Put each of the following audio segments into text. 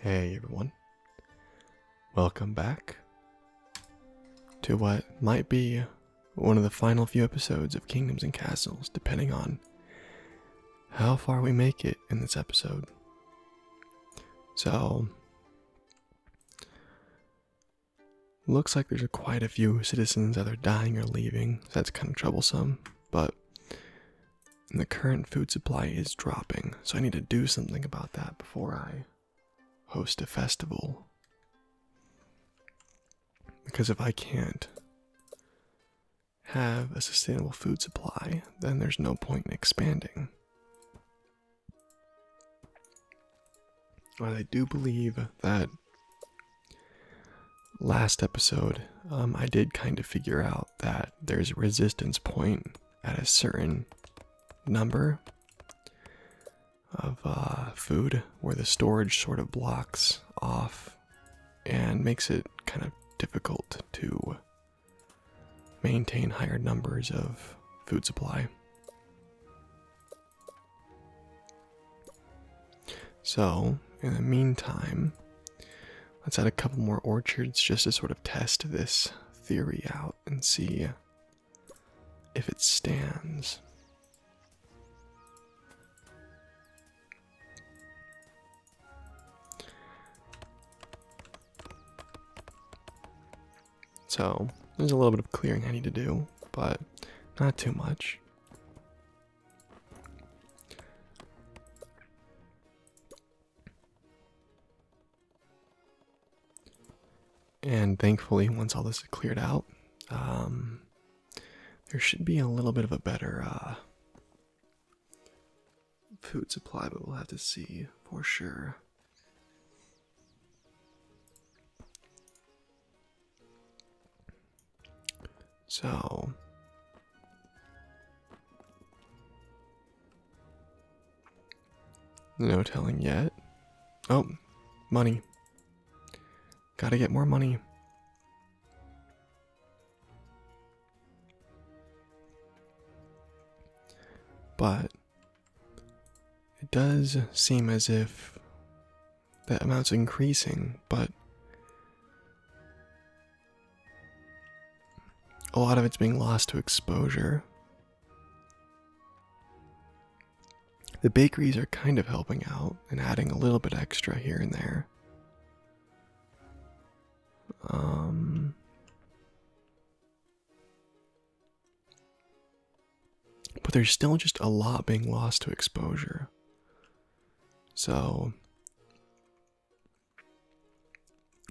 Hey everyone, welcome back to what might be one of the final few episodes of Kingdoms and Castles, depending on how far we make it in this episode. So, looks like there's quite a few citizens either dying or leaving, so that's kind of troublesome but the current food supply is dropping, so I need to do something about that before I host a festival. Because if I can't have a sustainable food supply, then there's no point in expanding. But I do believe that Last episode, um, I did kind of figure out that there's a resistance point at a certain number of uh, food where the storage sort of blocks off and makes it kind of difficult to maintain higher numbers of food supply. So, in the meantime, let's add a couple more orchards just to sort of test this theory out and see if it stands. So, there's a little bit of clearing I need to do, but not too much. And thankfully, once all this is cleared out, um, there should be a little bit of a better uh, food supply, but we'll have to see for sure. So no telling yet. Oh, money. Gotta get more money. But it does seem as if that amount's increasing, but a lot of it's being lost to exposure. The bakeries are kind of helping out and adding a little bit extra here and there. Um, but there's still just a lot being lost to exposure. So,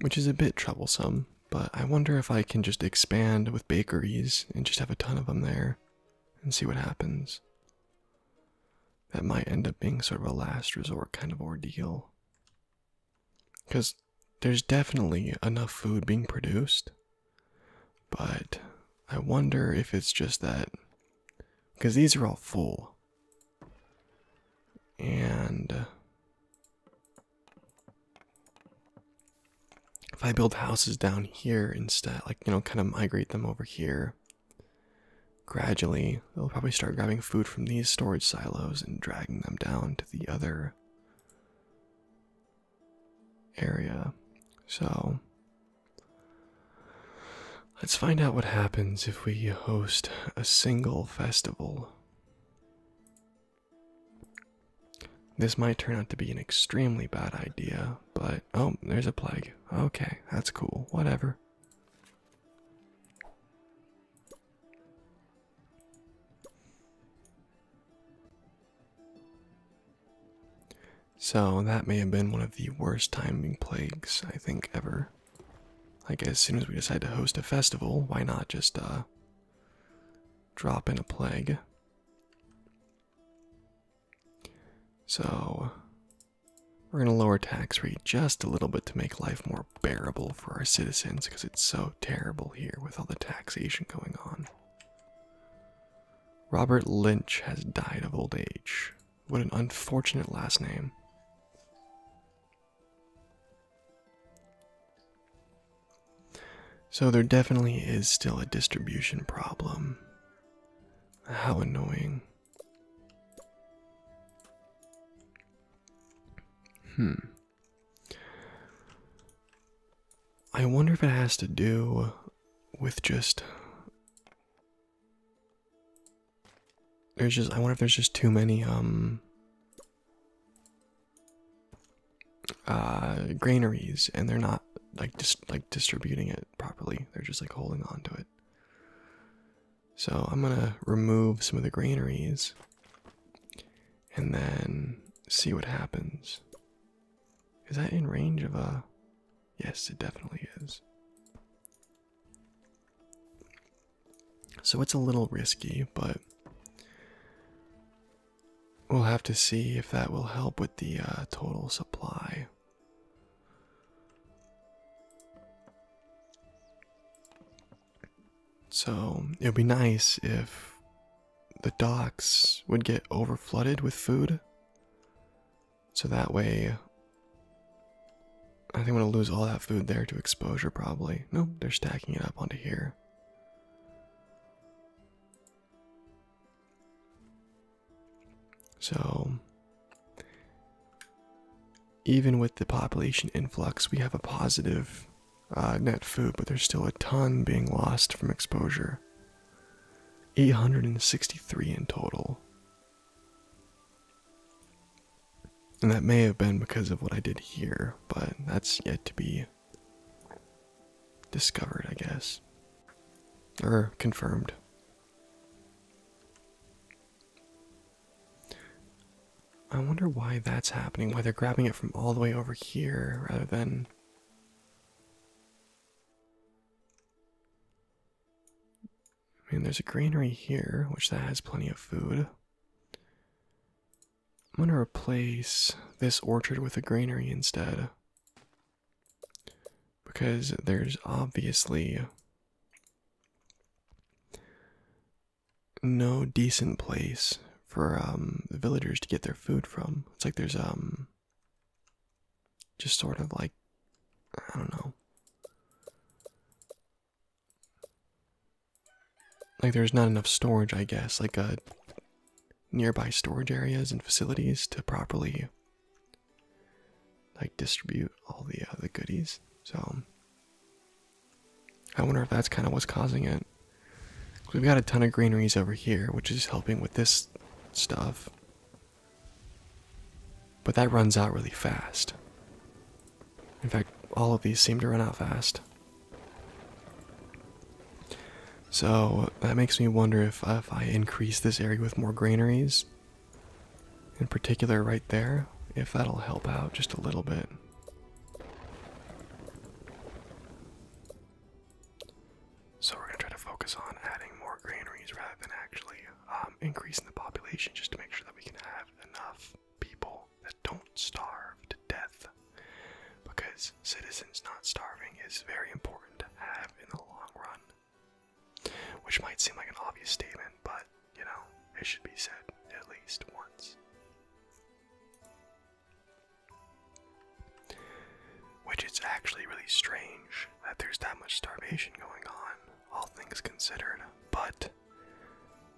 which is a bit troublesome, but I wonder if I can just expand with bakeries and just have a ton of them there and see what happens. That might end up being sort of a last resort kind of ordeal. Because there's definitely enough food being produced, but I wonder if it's just that because these are all full. And uh, if I build houses down here instead, like, you know, kind of migrate them over here, gradually they'll probably start grabbing food from these storage silos and dragging them down to the other area. So Let's find out what happens if we host a single festival. This might turn out to be an extremely bad idea, but oh, there's a plague. Okay, that's cool. Whatever. So that may have been one of the worst timing plagues I think ever. Like as soon as we decide to host a festival, why not just uh drop in a plague? So we're going to lower tax rate just a little bit to make life more bearable for our citizens because it's so terrible here with all the taxation going on. Robert Lynch has died of old age. What an unfortunate last name. So, there definitely is still a distribution problem. How annoying. Hmm. I wonder if it has to do with just there's just, I wonder if there's just too many, um, uh, granaries and they're not like just like distributing it properly. They're just like holding on to it. So I'm gonna remove some of the granaries and then see what happens. Is that in range of a Yes, it definitely is. So it's a little risky, but we'll have to see if that will help with the uh, total supply. So it would be nice if the docks would get overflooded with food. So that way, I think we'll lose all that food there to exposure probably. no, they're stacking it up onto here. So, even with the population influx, we have a positive uh, net food, but there's still a ton being lost from exposure. 863 in total. And that may have been because of what I did here, but that's yet to be discovered, I guess. Or confirmed. I wonder why that's happening, why they're grabbing it from all the way over here rather than. I mean, there's a granary here, which that has plenty of food. I'm gonna replace this orchard with a granary instead. Because there's obviously no decent place for um, the villagers to get their food from. It's like there's um just sort of like I don't know. Like there's not enough storage, I guess, like a uh, nearby storage areas and facilities to properly like distribute all the uh, the goodies. So I wonder if that's kind of what's causing it. We've got a ton of greeneries over here, which is helping with this stuff. But that runs out really fast. In fact, all of these seem to run out fast. So that makes me wonder if, if I increase this area with more granaries, in particular right there, if that'll help out just a little bit. So we're going to try to focus on adding more granaries rather than actually um, increase in the population just to make sure that we can have enough people that don't starve to death. Because citizens not starving is very important to have in the long run. Which might seem like an obvious statement, but you know, it should be said at least once. Which is actually really strange that there's that much starvation going on, all things considered. But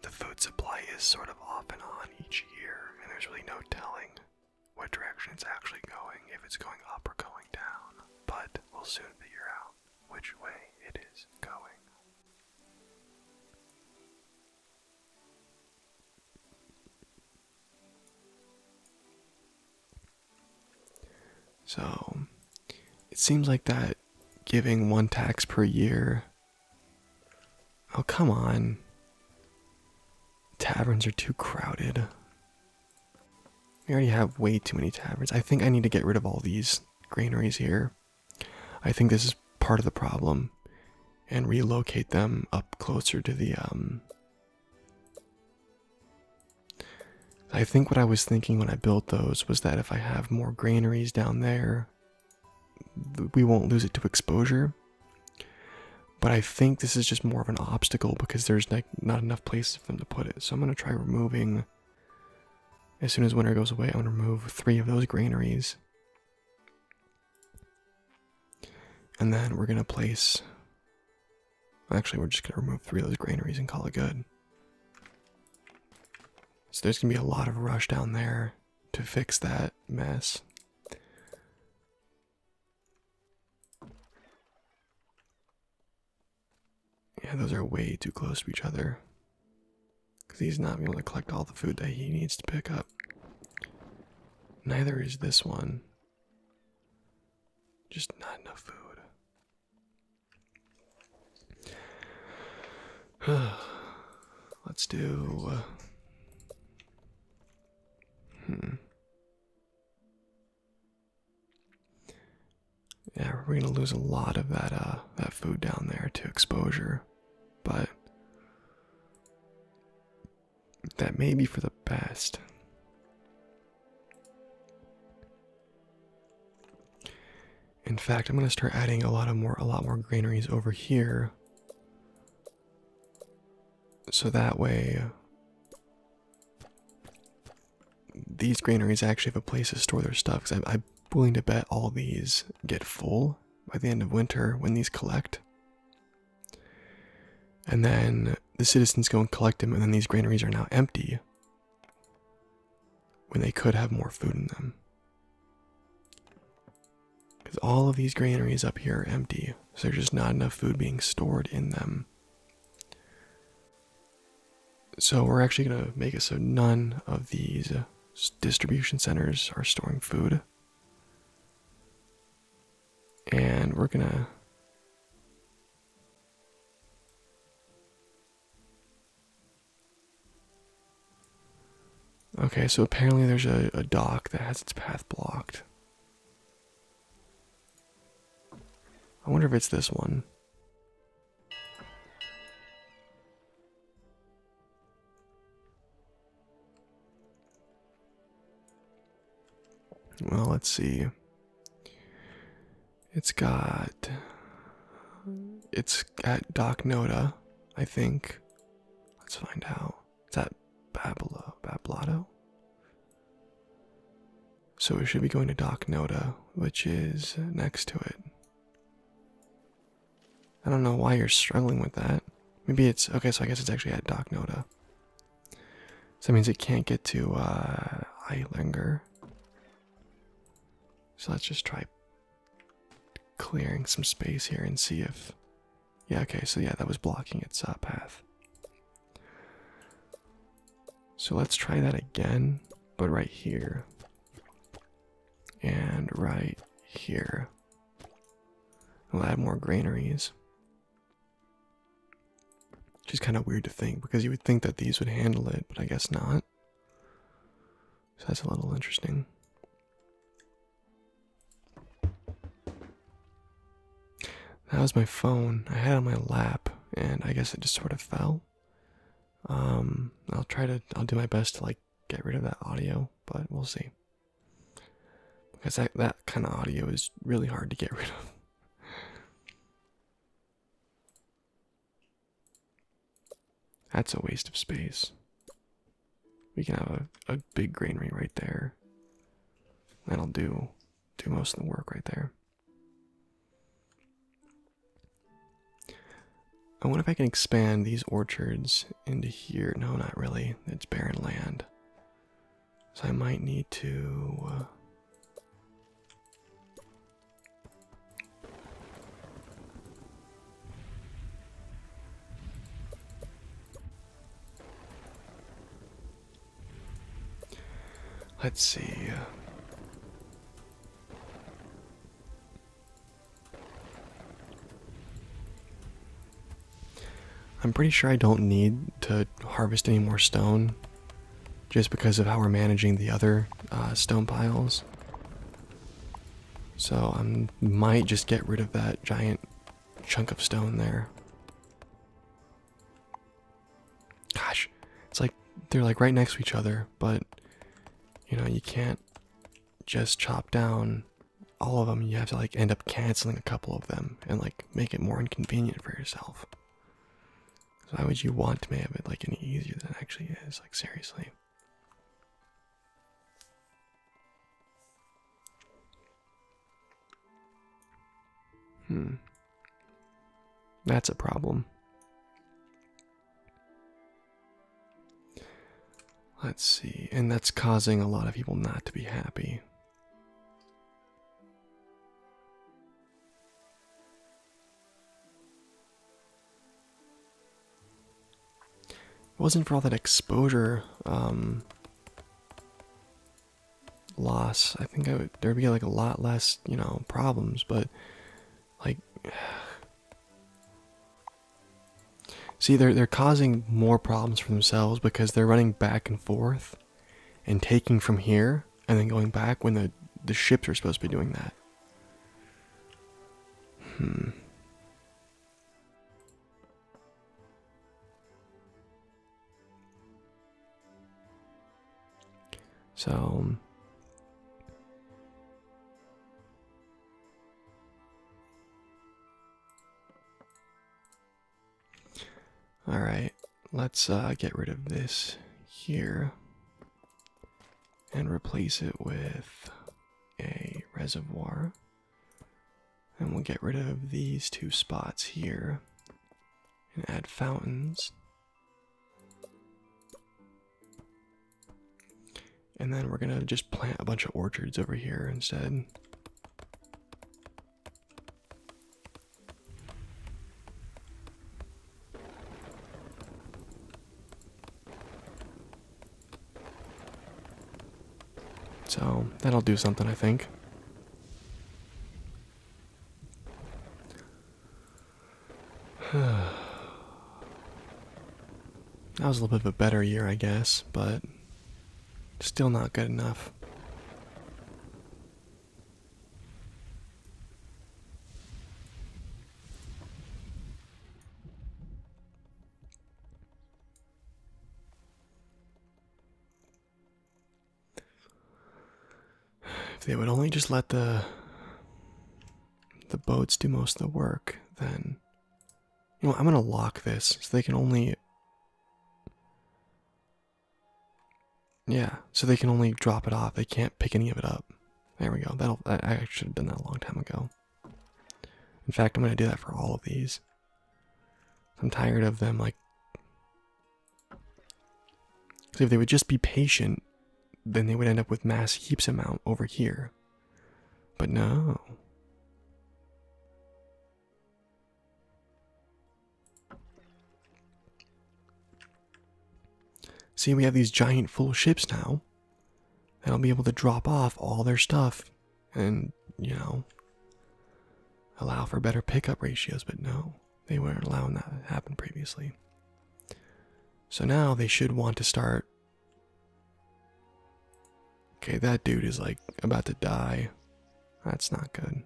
the food supply is sort of off and on each year, and there's really no telling what direction it's actually going, if it's going up or going down. But we'll soon figure out which way it is going. So it seems like that giving one tax per year. Oh, come on. Taverns are too crowded. We already have way too many taverns. I think I need to get rid of all these granaries here. I think this is part of the problem and relocate them up closer to the um I think what I was thinking when I built those was that if I have more granaries down there, we won't lose it to exposure. But I think this is just more of an obstacle because there's like not enough places for them to put it. So I'm gonna try removing. As soon as winter goes away, I'm gonna remove three of those granaries. And then we're gonna place Actually, we're just going to remove three of those granaries and call it good. So there's going to be a lot of rush down there to fix that mess. Yeah, those are way too close to each other. Because he's not going to collect all the food that he needs to pick up. Neither is this one. Just not enough food. Let's do. Uh, hmm. Yeah, we're gonna lose a lot of that uh, that food down there to exposure, but that may be for the best. In fact, I'm going to start adding a lot of more a lot more granaries over here. So that way these granaries actually have a place to store their stuff cuz I'm, I'm willing to bet all these get full by the end of winter when these collect. And then the citizens go and collect them and then these granaries are now empty when they could have more food in them. Because all of these granaries up here are empty, so there's just not enough food being stored in them. So we're actually going to make it so none of these uh, distribution centers are storing food. And we're going to Okay, so apparently there's a, dock that has its path blocked. I wonder if it's this one. Well, let's see. It's got. It's at Doc Noda, I think. Let's find out. It's at Babilo, Bablotto. So we should be going to Doc Noda, which is next to it. I don't know why you're struggling with that. Maybe it's okay, so I guess it's actually at Doc Noda. So that means it can't get to uh, Eilinger. So let's just try clearing some space here and see if. Yeah, okay, so yeah, that was blocking its uh, path. So let's try that again, but right here. And right here. We'll add more granaries. Which is kind of weird to think because you would think that these would handle it, but I guess not. So that's a little interesting. That was my phone. I had it on my lap, and I guess it just sort of fell. Um, I'll try to, I'll do my best to like get rid of that audio, but we'll see. Because that, that kind of audio is really hard to get rid of. That's a waste of space. We can have a, a big granary right there. That'll do do most of the work right there. I wonder if I can expand these orchards into here. No, not really. It's barren land. So I might need to uh, Let's see. I'm pretty sure I don't need to harvest any more stone just because of how we're managing the other uh, stone piles. So I might just get rid of that giant chunk of stone there. Gosh, it's like they're like right next to each other, but you know, you can't just chop down all of them. You have to like end up canceling a couple of them and like make it more inconvenient for yourself why would you want to make it like any easier than it actually is? Like seriously. Hmm. That's a problem. Let's see. And that's causing a lot of people not to be happy. It wasn't for all that exposure um, loss. I think there'd be like a lot less, you know, problems. But like, see, they're they're causing more problems for themselves because they're running back and forth and taking from here and then going back when the the ships are supposed to be doing that. Hmm. So All right let's uh, get rid of this here and replace it with a reservoir. And we'll get rid of these two spots here and add fountains. And then we're gonna just plant a bunch of orchards over here instead. So that'll do something, I think. that was a little bit of a better year, I guess, but still not good enough. If they would only just let the the boats do most of the work, then you know I'm gonna lock this so they can only yeah, so they can only drop it off. They can't pick any of it up. There we go. That'll. I should have done that a long time ago. In fact, I'm gonna do that for all of these. I'm tired of them. Like, so if they would just be patient, then they would end up with mass heaps amount over here. But no. See, we have these giant full ships now, that will be able to drop off all their stuff and, you know, allow for better pickup ratios, but no, they weren't allowing that to happen previously. So now they should want to start. Okay, that dude is like about to die. That's not good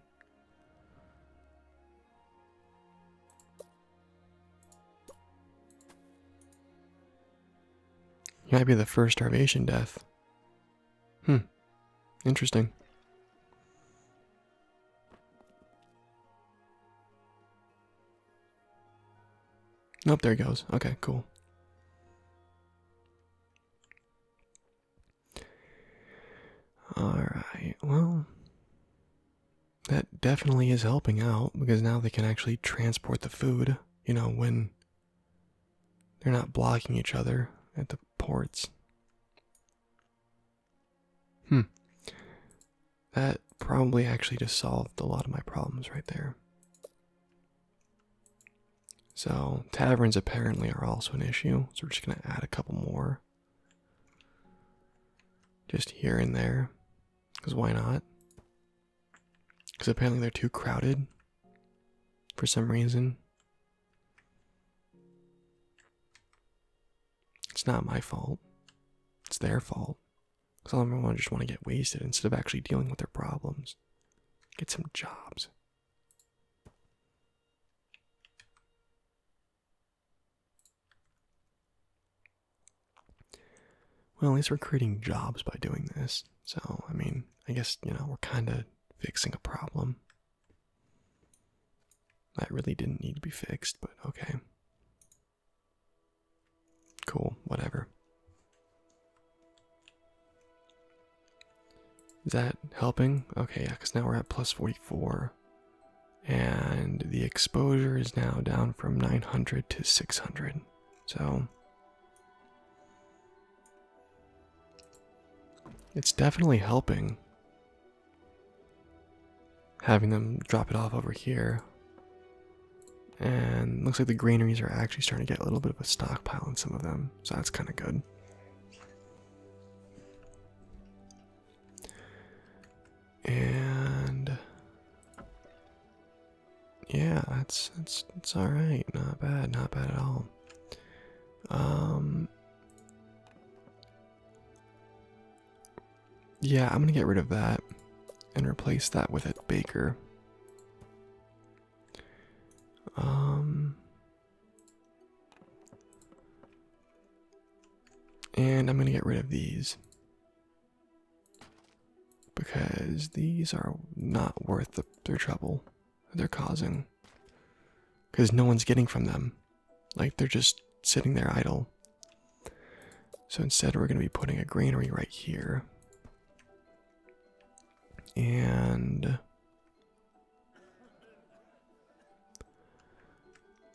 might be the first starvation death. Hmm. Interesting. Nope, there he goes. Okay, cool. Alright, well, that definitely is helping out because now they can actually transport the food, you know, when they're not blocking each other at the ports. Hmm. That probably actually just solved a lot of my problems right there. So, taverns apparently are also an issue, so we're just going to add a couple more. Just here and there. Because why not? Because apparently they're too crowded for some reason. It's not my fault. It's their fault. Because all of them just want to get wasted instead of actually dealing with their problems. Get some jobs. Well, at least we're creating jobs by doing this. So, I mean, I guess, you know, we're kind of fixing a problem. That really didn't need to be fixed, but okay. Cool, whatever. Is that helping? Okay, yeah, because now we're at plus 44 and the exposure is now down from 900 to 600. So it's definitely helping having them drop it off over here. And looks like the granaries are actually starting to get a little bit of a stockpile in some of them, so that's kind of good. And yeah, that's that's it's all right. Not bad. Not bad at all. Um. Yeah, I'm gonna get rid of that and replace that with a baker. Um and I'm going to get rid of these because these are not worth the, their trouble they're causing. Because no one's getting from them. Like they're just sitting there idle. So instead, we're going to be putting a granary right here. And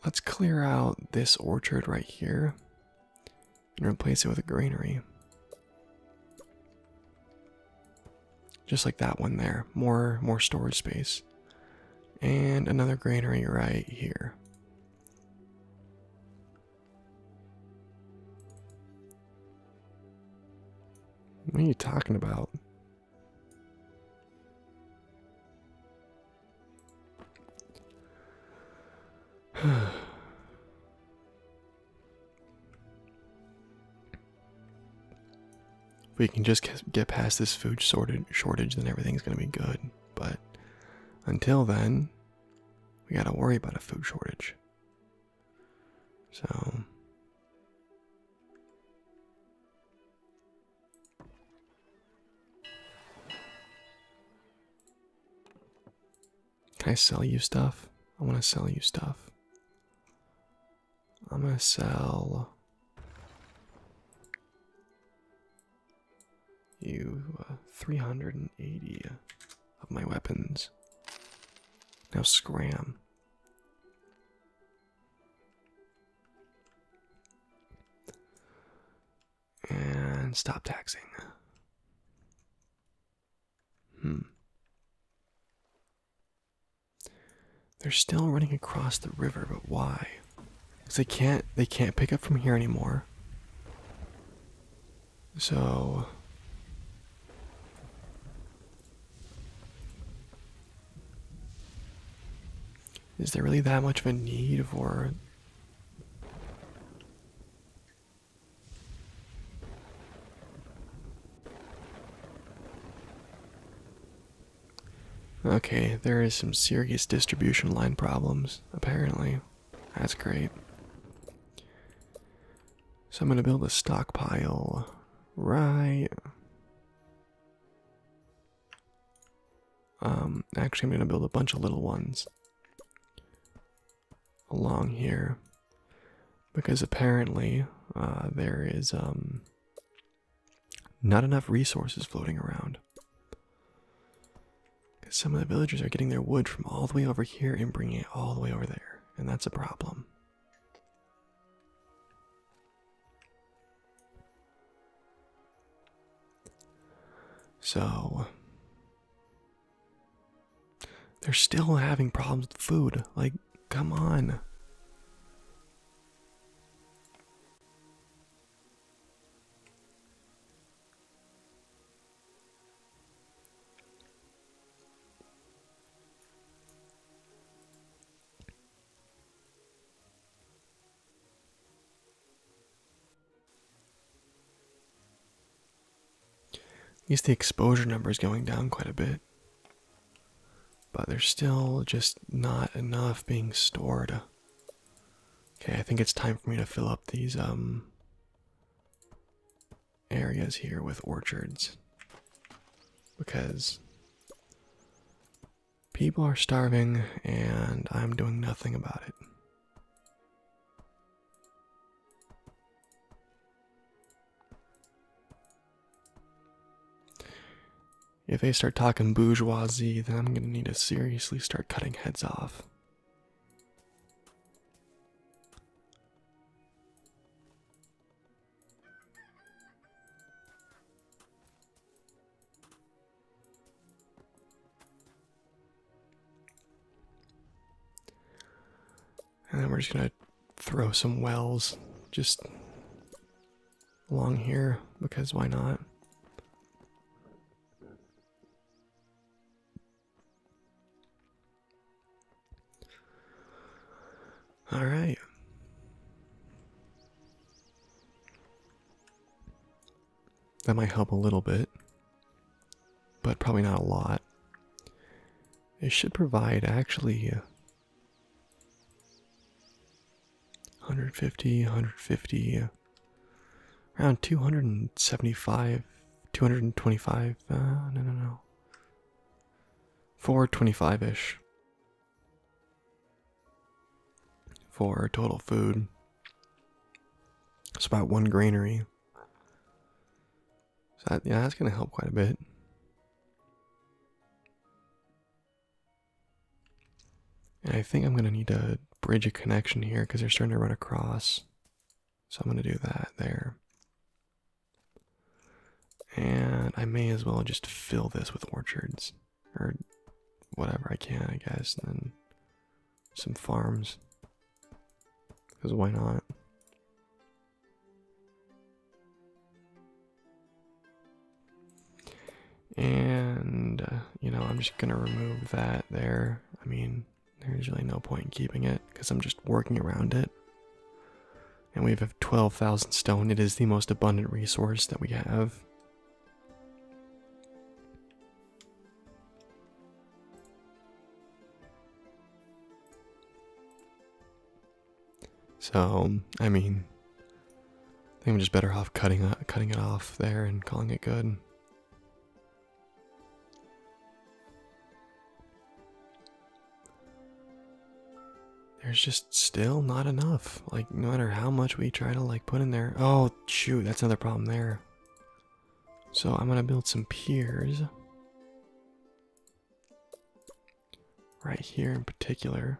Let's clear out this orchard right here and replace it with a granary. Just like that one there. More more storage space. And another granary right here. What are you talking about? if we can just get past this food shortage, then everything's going to be good. But until then, we got to worry about a food shortage. So. Can I sell you stuff? I want to sell you stuff. I'm going to sell you uh, 380 of my weapons. Now, scram. And stop taxing. Hmm. They're still running across the river, but why? Because they can't they can't pick up from here anymore. So is there really that much of a need for Okay, there is some serious distribution line problems, apparently. That's great. So I'm gonna build a stockpile right um, actually, I'm going to build a bunch of little ones along here because apparently uh, there is um, not enough resources floating around. Some of the villagers are getting their wood from all the way over here and bringing it all the way over there, and that's a problem. So they're still having problems with food. Like, come on. At least the exposure number is going down quite a bit. But there's still just not enough being stored. Okay, I think it's time for me to fill up these um areas here with orchards because People are starving, and I'm doing nothing about it. If they start talking bourgeoisie, then I'm going to need to seriously start cutting heads off. And then we're just gonna throw some wells just along here because why not? All right. That might help a little bit, but probably not a lot. It should provide actually 150, uh, 150, uh, around 275, 225, uh, no, no, no. 425 ish for total food. It's about one granary. So yeah, that's gonna help quite a bit. And I think I'm gonna need to bridge a connection here because they're starting to run across. So I'm gonna do that there. And I may as well just fill this with orchards or whatever I can, I guess, then some farms. Because why not? And, uh, you know, I'm just going to remove that there. I mean, there's really no point in keeping it because I'm just working around it. And we have 12,000 stone. It is the most abundant resource that we have. So, I mean, I think I'm just better off cutting it, uh, cutting it off there and calling it good there's just still not enough. Like no matter how much we try to like put in there. Oh shoot, that's another problem there. So I'm gonna build some piers. Right here in particular.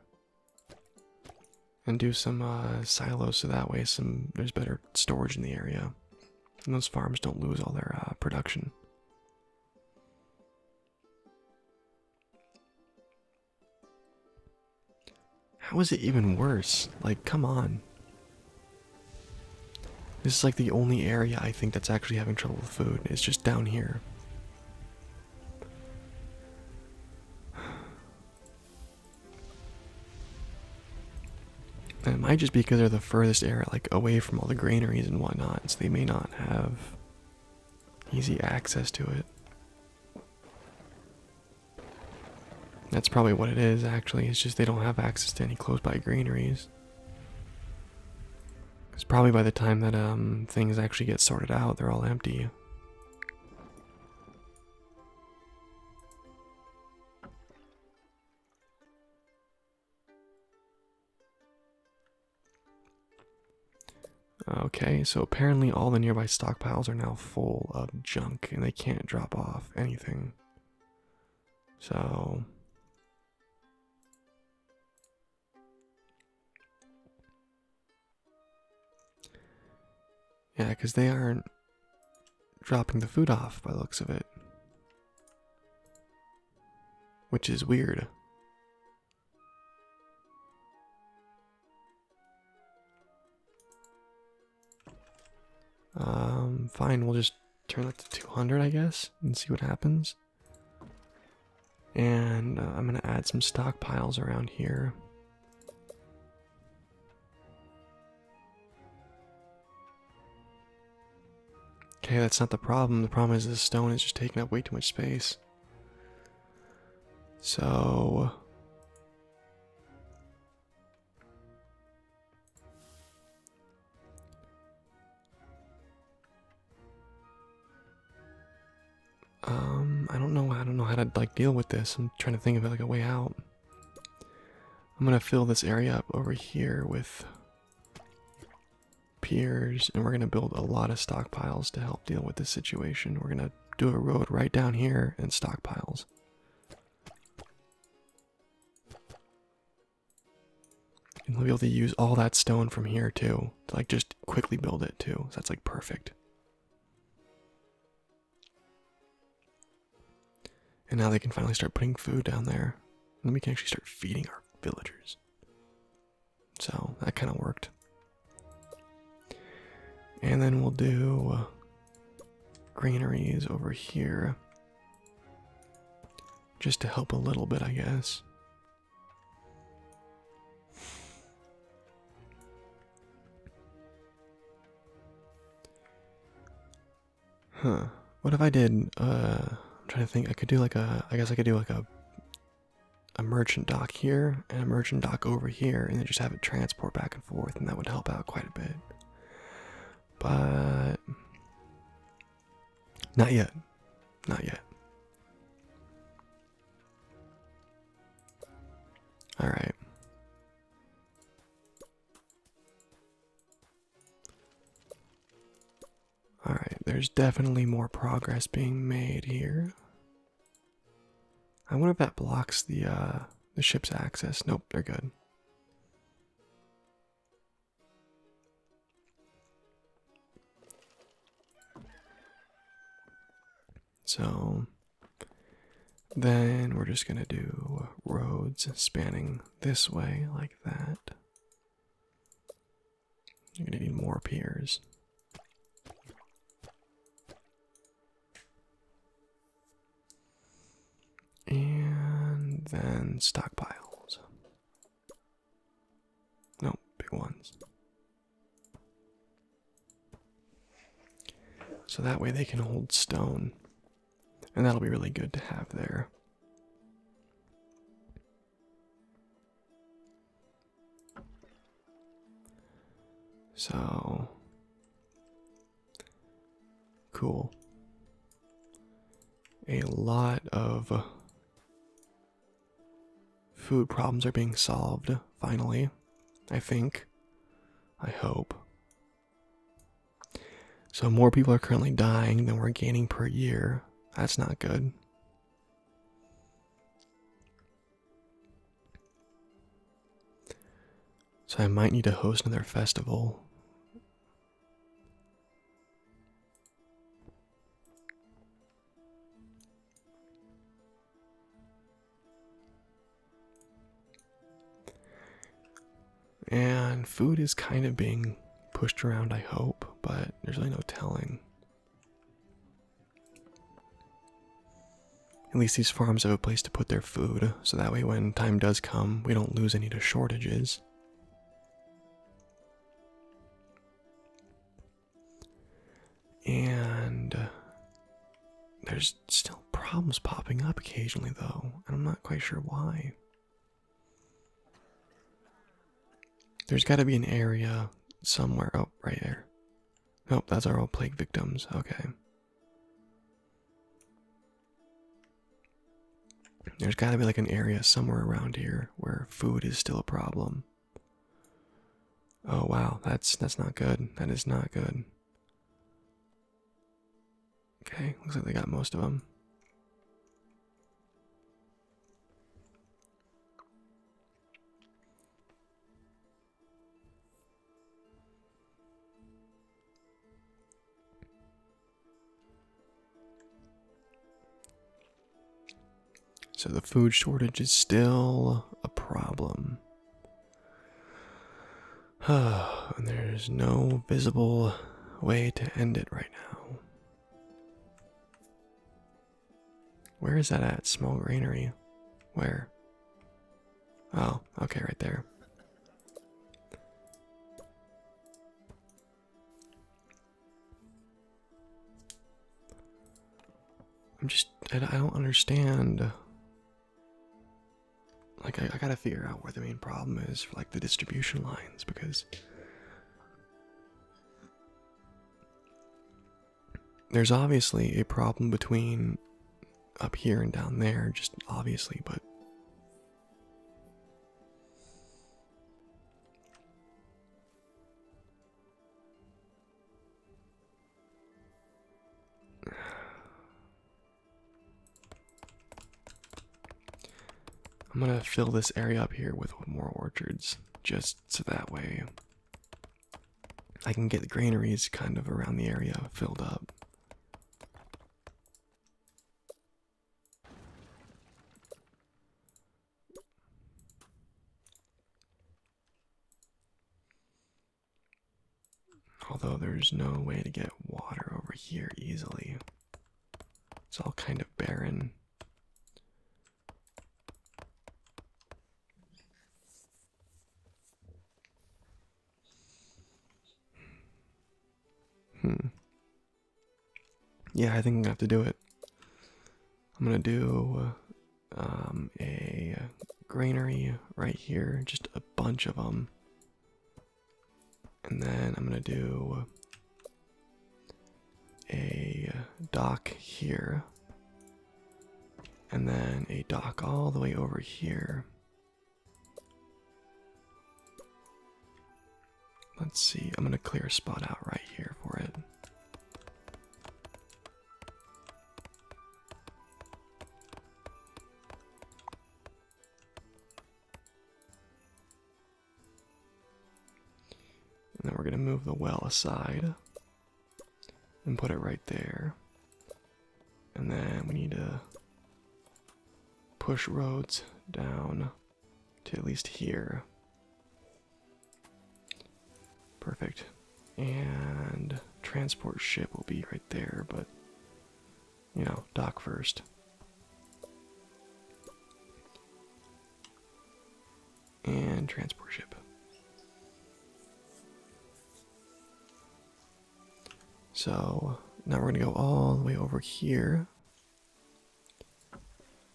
And do some uh, silos so that way some there's better storage in the area. And those farms don't lose all their uh, production. How is it even worse? Like, come on. This is like the only area I think that's actually having trouble with food. It's just down here. it might just be because they're the furthest area, like away from all the granaries and whatnot, so they may not have easy access to it. That's probably what it is, actually. It's just they don't have access to any close by greeneries. It's probably by the time that um, things actually get sorted out, they're all empty. Okay, so apparently all the nearby stockpiles are now full of junk and they can't drop off anything. So. Yeah, because they aren't dropping the food off by the looks of it. Which is weird. Um, fine, we'll just turn that to 200, I guess, and see what happens. And uh, I'm gonna add some stockpiles around here. Okay, that's not the problem. The problem is this stone is just taking up way too much space. So um I don't know I don't know how to like deal with this. I'm trying to think of like a way out. I'm going to fill this area up over here with piers and we're going to build a lot of stockpiles to help deal with this situation. We're going to do a road right down here and stockpiles. And we'll be able to use all that stone from here too, to like just quickly build it too. So that's like perfect. And now they can finally start putting food down there. And we can actually start feeding our villagers. So that kind of worked. And then we'll do uh, greenerys over here. Just to help a little bit, I guess. Huh. What if I did, uh, I'm trying to think, I could do like a, I guess I could do like a a merchant dock here and a merchant dock over here, and then just have it transport back and forth, and that would help out quite a bit. But not yet, not yet. All right. All right, there's definitely more progress being made here. I wonder if that blocks the uh, the ship's access. Nope, they're good. So then we're just going to do roads spanning this way like that. I'm going to need more piers. And then stockpiles. No, big ones. So that way they can hold stone. And that'll be really good to have there. So cool. A lot of food problems are being solved finally, I think. I hope. So, more people are currently dying than we're gaining per year. That's not good. So I might need to host another festival. And food is kind of being pushed around, I hope, but there's really no telling. At least these farms have a place to put their food, so that way when time does come, we don't lose any to shortages. And uh, there's still problems popping up occasionally, though, and I'm not quite sure why. There's got to be an area somewhere. up oh, right there. Oh, that's our old plague victims. Okay. There's gotta be like an area somewhere around here where food is still a problem. Oh wow, that's that's not good. That is not good. Okay, looks like they got most of them. So the food shortage is still a problem. and there's no visible way to end it right now. Where is that at? Small granary. Where? Oh, okay, right there. I'm just, I, don't understand. Like, I gotta figure out where the main problem is for, like, the distribution lines, because there's obviously a problem between up here and down there, just obviously, but. I'm gonna fill this area up here with more orchards, just so that way I can get the granaries kind of around the area filled up. Although there's no way to get water over here easily. It's all kind of barren. Hmm. Yeah, I think I'm gonna have to do it. I'm gonna do um, a uh, granary right here, just a bunch of them. And then I'm gonna do a uh, dock here and then a dock all the way over here. Let's see, I'm going to clear a spot out right here for it. And then we're going to move the well aside and put it right there. And then we need to push roads down to at least here. Perfect. And transport ship will be right there, but you know, dock first and transport ship. So now we're going to go all the way over here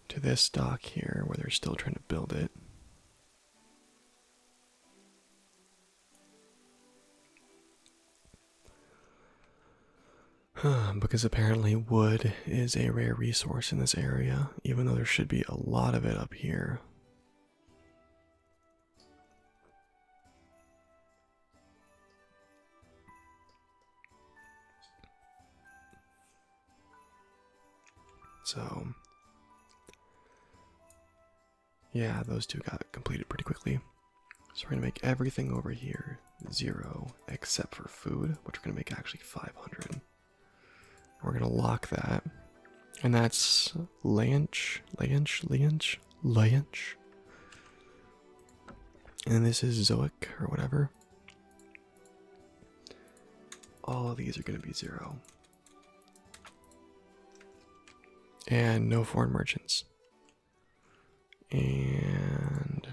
to this dock here where they're still trying to build it. because apparently wood is a rare resource in this area, even though there should be a lot of it up here. So, yeah, those two got completed pretty quickly. So, we're going to make everything over here zero except for food, which we're going to make actually 500. We're gonna lock that. And that's Lanch, Lanch, Lanch, Lanch. And this is Zoic or whatever. All of these are gonna be zero. And no foreign merchants. And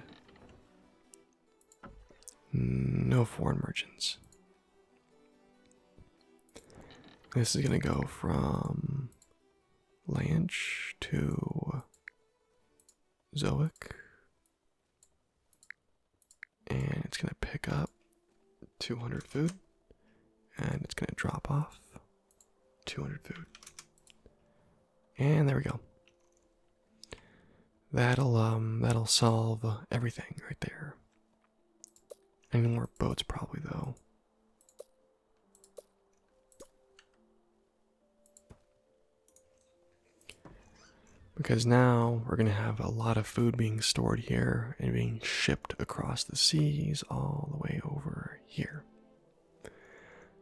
no foreign merchants. This is going to go from Lanch to Zoic. And it's going to pick up 200 food. And it's going to drop off 200 food. And there we go. That'll um that'll solve everything right there. I more boats, probably, though. Because now we're going to have a lot of food being stored here and being shipped across the seas all the way over here.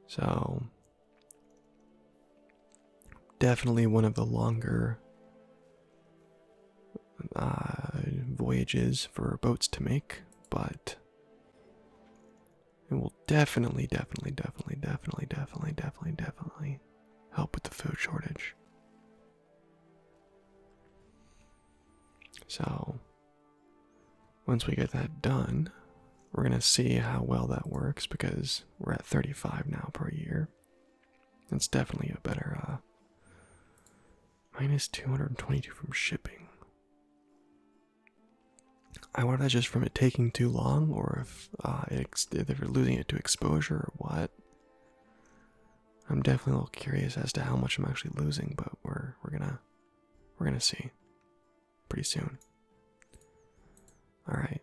So, definitely one of the longer uh, voyages for boats to make, but it will definitely, definitely, definitely, definitely, definitely, definitely, definitely help with the food shortage. So, once we get that done, we're going to see how well that works because we're at 35 now per year. It's definitely a better, uh, 222 from shipping. I wonder if that's just from it taking too long, or if, uh, it's if we are losing it to exposure or what. I'm definitely a little curious as to how much I'm actually losing, but we're we're gonna we're gonna see pretty soon. All right.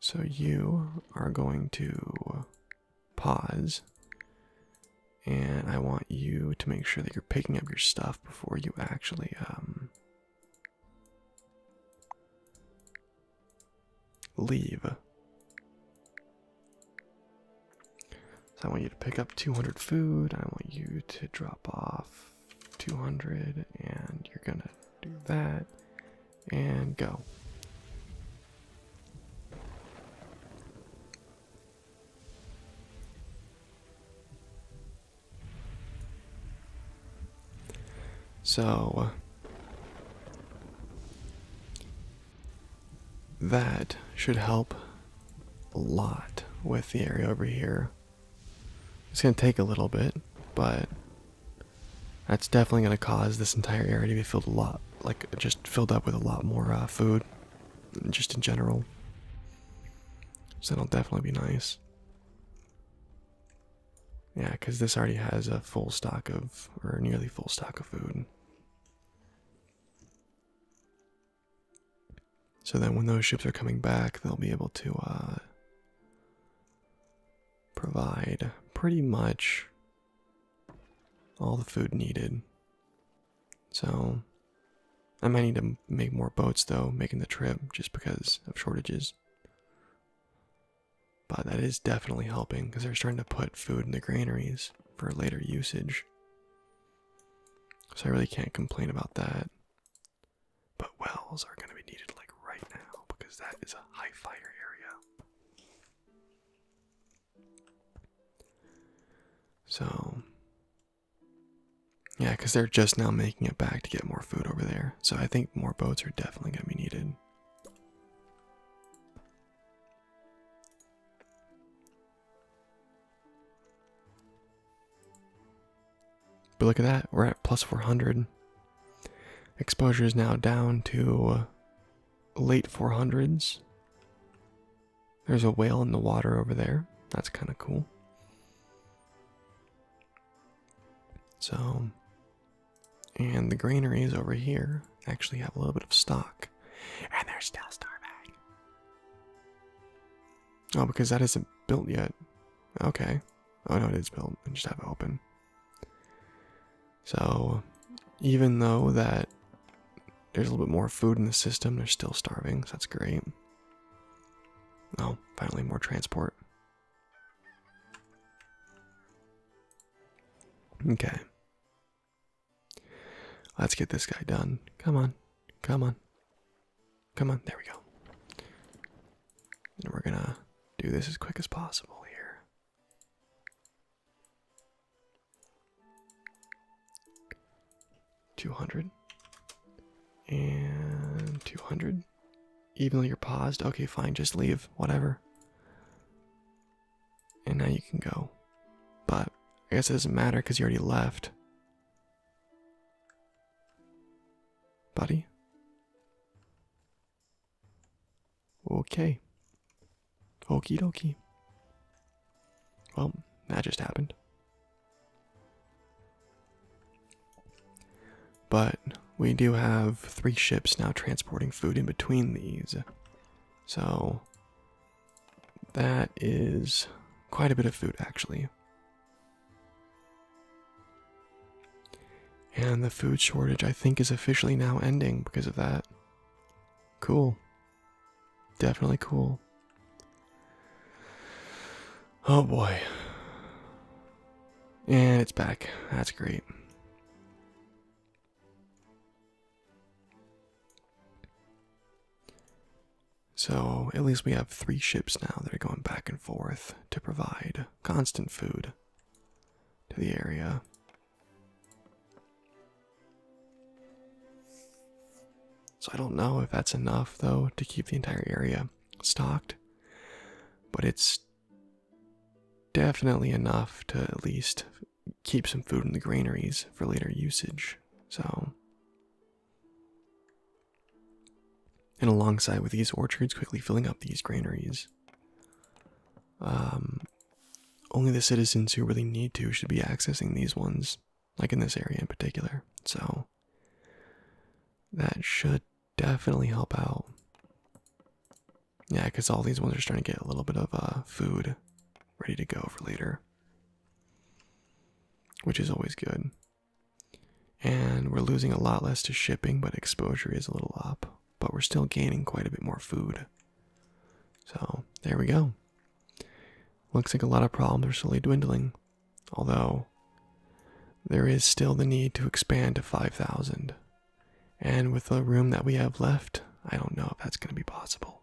So you are going to pause, and I want you to make sure that you're picking up your stuff before you actually um, leave. So I want you to pick up 200 food. I want you to drop off 200 and you're gonna do that and go so that should help a lot with the area over here it's going to take a little bit, but that's definitely going to cause this entire area to be filled a lot, like just filled up with a lot more uh, food, just in general. So that'll definitely be nice. Yeah, because this already has a full stock of, or nearly full stock of food. So then when those ships are coming back, they'll be able to uh, provide pretty much all the food needed. So I might need to make more boats though, making the trip just because of shortages. But that is definitely helping because they're starting to put food in the granaries for later usage. So I really can't complain about that. But wells are going to be needed like right now because that is a high fire area. So, yeah, because they're just now making it back to get more food over there. So I think more boats are definitely going to be needed. But look at that, we're at plus 400. Exposure is now down to late 400s. There's a whale in the water over there. That's kind of cool. So, and the granaries over here actually have a little bit of stock, and they're still starving. Oh, because that isn't built yet. Okay. Oh no, it is built. I just have it open. So, even though that there's a little bit more food in the system, they're still starving, so that's great. Oh, finally more transport. Okay. Let's get this guy done. Come on. Come on. Come on, there we go. And we're gonna do this as quick as possible here. Two hundred and two hundred. Even though you're paused, okay, fine, just leave, whatever. And now you can go. But I guess it doesn't matter because you already left. Buddy. Okay. Okie dokie. Well, that just happened. But we do have three ships now transporting food in between these. So that is quite a bit of food actually. And the food shortage, I think, is officially now ending because of that. Cool. Definitely cool. Oh boy. And it's back. That's great. So at least we have three ships now that are going back and forth to provide constant food to the area. So I don't know if that's enough though to keep the entire area stocked, but it's definitely enough to at least keep some food in the granaries for later usage. So and alongside with these orchards, quickly filling up these granaries. Um, only the citizens who really need to should be accessing these ones, like in this area in particular. So, that should definitely help out. Yeah, because all these ones are starting to get a little bit of uh, food ready to go for later, which is always good. And we're losing a lot less to shipping, but exposure is a little up. But we're still gaining quite a bit more food. So, there we go. Looks like a lot of problems are slowly dwindling. Although, there is still the need to expand to 5,000. And with the room that we have left, I don't know if that's going to be possible.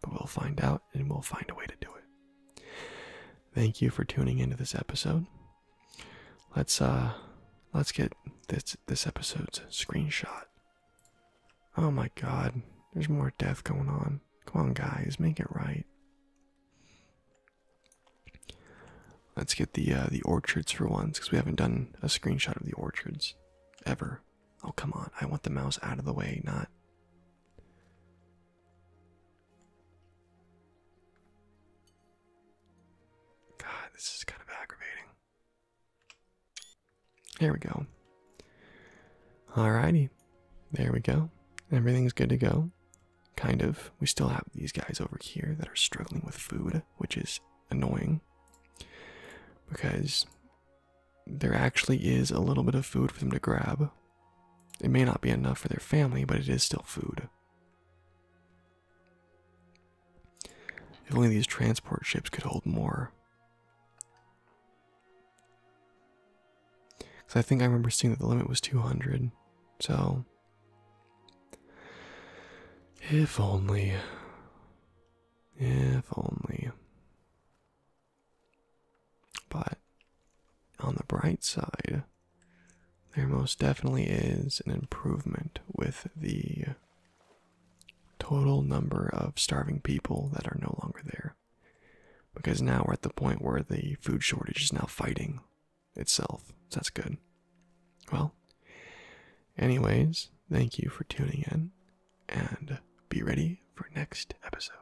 But we'll find out and we'll find a way to do it thank you for tuning into this episode. Let's uh let's get this this episode's screenshot. Oh my god, there's more death going on. Come on guys, make it right. Let's get the uh, the orchards for once cuz we haven't done a screenshot of the orchards ever. Oh come on, I want the mouse out of the way, not God, this is kind of aggravating. There we go. Alrighty. There we go. Everything's good to go. Kind of. We still have these guys over here that are struggling with food, which is annoying because there actually is a little bit of food for them to grab. It may not be enough for their family, but it is still food. If only these transport ships could hold more. Because I think I remember seeing that the limit was 200. So. If only. If only. But on the bright side, there most definitely is an improvement with the total number of starving people that are no longer there. Because now we're at the point where the food shortage is now fighting itself. So that's good. Well, anyways, thank you for tuning in and be ready for next episode.